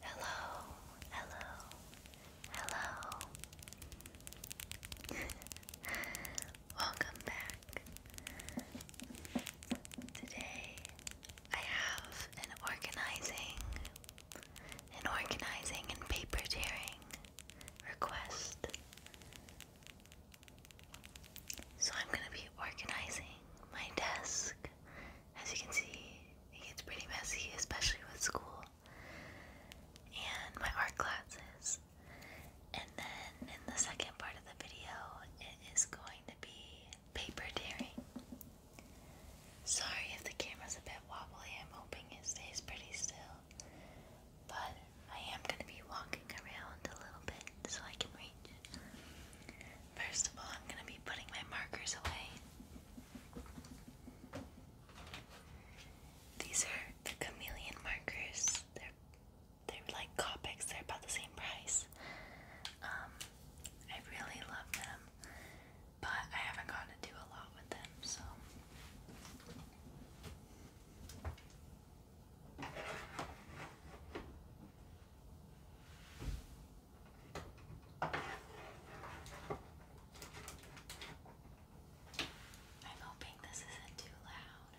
Hello, hello, hello. Welcome back. Today I have an organizing, an organizing and paper tearing request. So I'm going to be organizing my desk. As you can see, it gets pretty messy, especially with school and my art classes. And then in the second part of the video, it is going to be paper tearing. Sorry if the camera's a bit wobbly, I'm hoping it stays pretty still. But I am going to be walking around a little bit so I can reach. First of all, I'm going to be putting my markers away. These are the chameleon markers. They're they're like Copics. They're about the same price. Um, I really love them, but I haven't gotten to do a lot with them, so. I'm hoping this isn't too loud.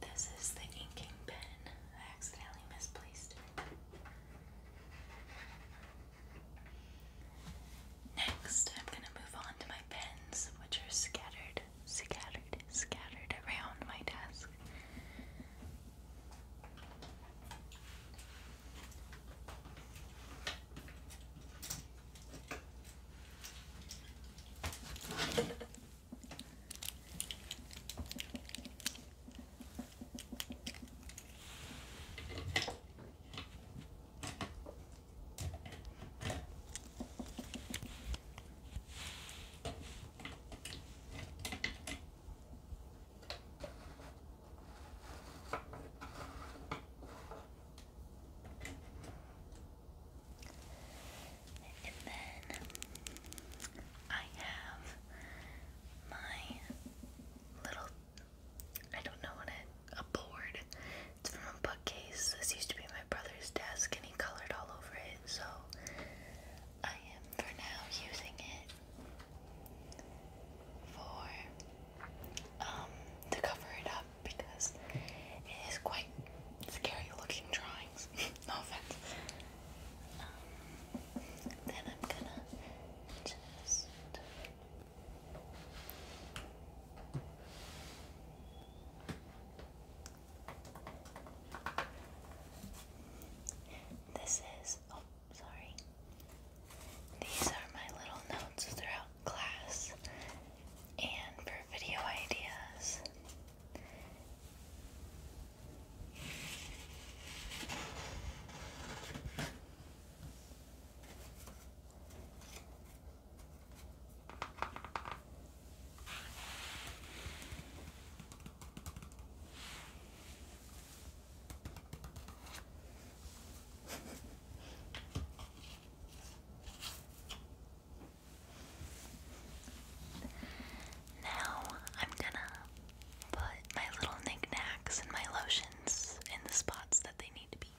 This is the inking pen. I accidentally misplaced Next, I'm going to move on to my pens, which are scattered scattered, scattered, around my desk. And then I have my little, I don't know what it, a board. It's from a bookcase. This used to be my brother's desk and he colored all over it so I am for now using it for um, to cover it up because it is quite scary looking drawings. no offense. Um, then I'm gonna just this is, oh, sorry. These are my little notes throughout class and for video ideas now I'm gonna put my little knickknacks and my lotions in the spots that they need to be.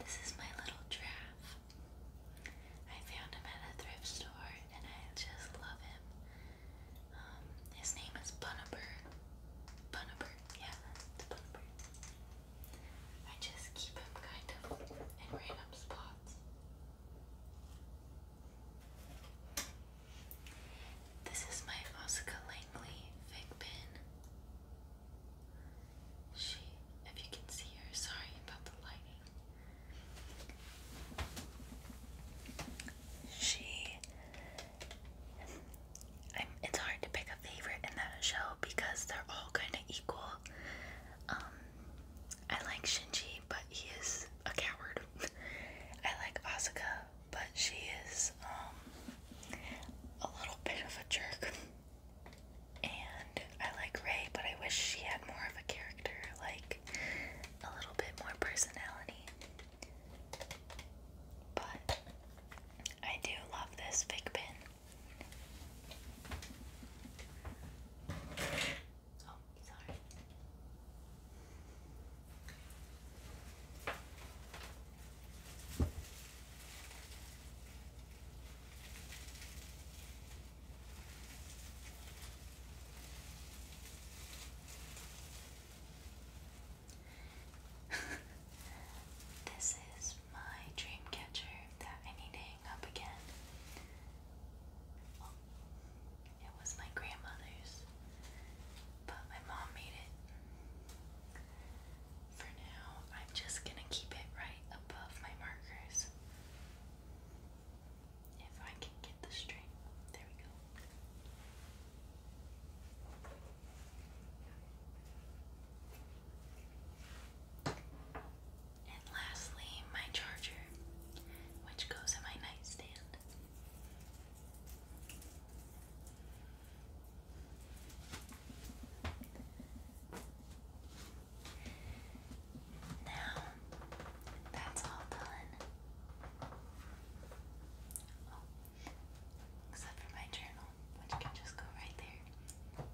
This is my little draft. I found him at a thrift store and I just love him. Um, his name is Bunabur. Bunabur, yeah, it's Bunabur. I just keep him kind of in random spots. This is my Oscar Langley fig pin. She, if you can see her, sorry about the lighting. She. i it's hard to pick a favorite in that show because they're all kind of equal. Um, I like Shinji, but he is a coward. I like Asuka, but she is um, a little bit of a jerk. And I like Ray, but I wish she had more of a character. Like, a little bit more personality. But I do love this fig pin. Oh, sorry this is my dream catcher that I need to hang up again. it was my grandmother's, but my mom made it. For now, I'm just gonna keep it right above my markers. If I can get the string. There we go. And lastly, my charger, which goes in my nightstand. Now that's all done. Oh, except for my journal, which can just go right there.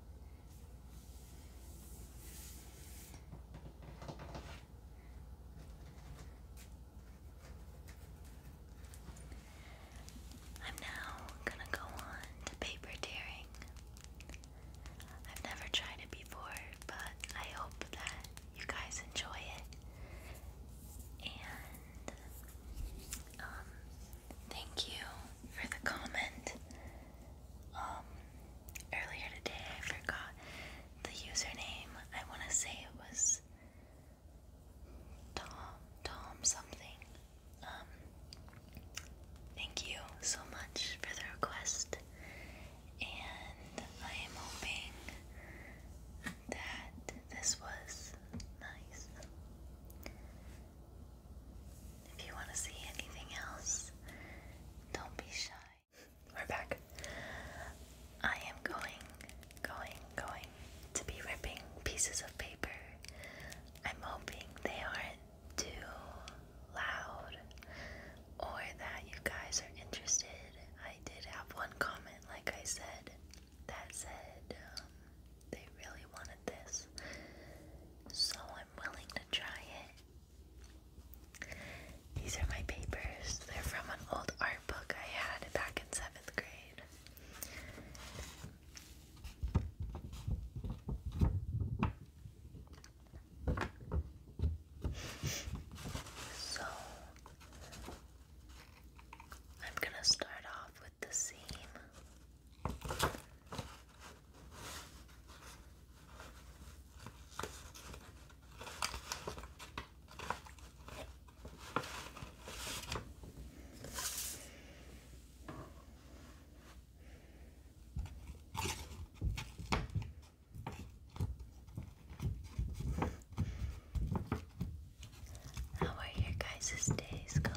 I'm now gonna go on to paper tearing. I've never tried it before, but I hope that you guys enjoy it. And um, thank you for the comment. Um, earlier today I forgot the username. I want to say it was Tom Tom something. Um, Thank you so much for the request, and I am hoping that this was nice. If you want to see anything else, don't be shy. We're back. I am going, going, going to be ripping pieces of paper. I'm hoping they aren't too loud or that you guys are interested. I did have one comment, like I said, that said um, they really wanted this, so I'm willing to try it. These are my papers, they're from an old art book I had back in seventh grade. So I'm going to start off with the seam. How are your guys' days going?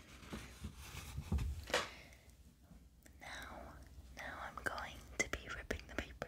Now, now I'm going to be ripping the paper.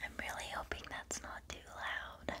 I'm really hoping that's not too loud.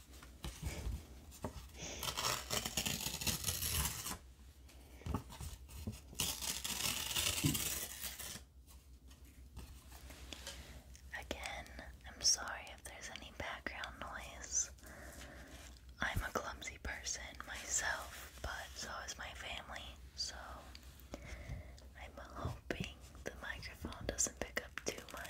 Again, I'm sorry if there's any background noise. I'm a clumsy person myself, but so is my family, so I'm hoping the microphone doesn't pick up too much.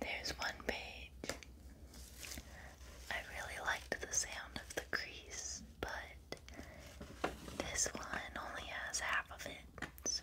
There's one page. I really liked the sound of the crease, but this one only has half of it, so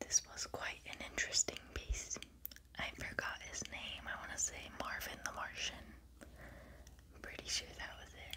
This was quite an interesting piece. I forgot his name. I want to say Marvin the Martian. I'm pretty sure that was it.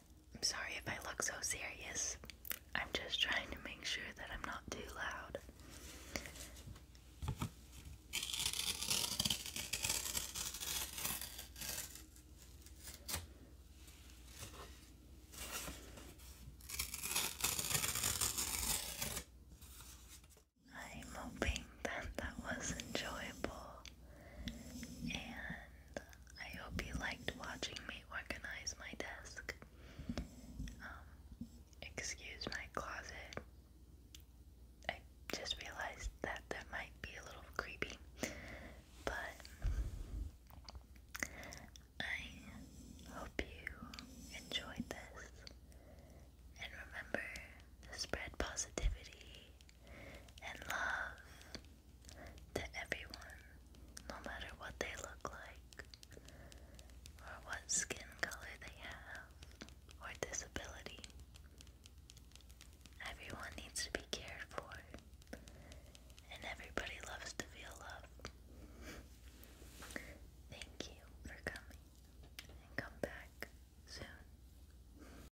I'm sorry if I look so serious. I'm just trying to make sure that I'm not too loud. I'm hoping that that was enjoyable and I hope you liked watching me organize my desk. Um, excuse my closet. I just realized that that might be a little creepy, but I hope you enjoyed this. And remember to spread positivity and love to everyone, no matter what they look like, or what skin color they have, or disability. Everyone needs to be cared for, and everybody loves to feel love. Thank you for coming, and come back soon.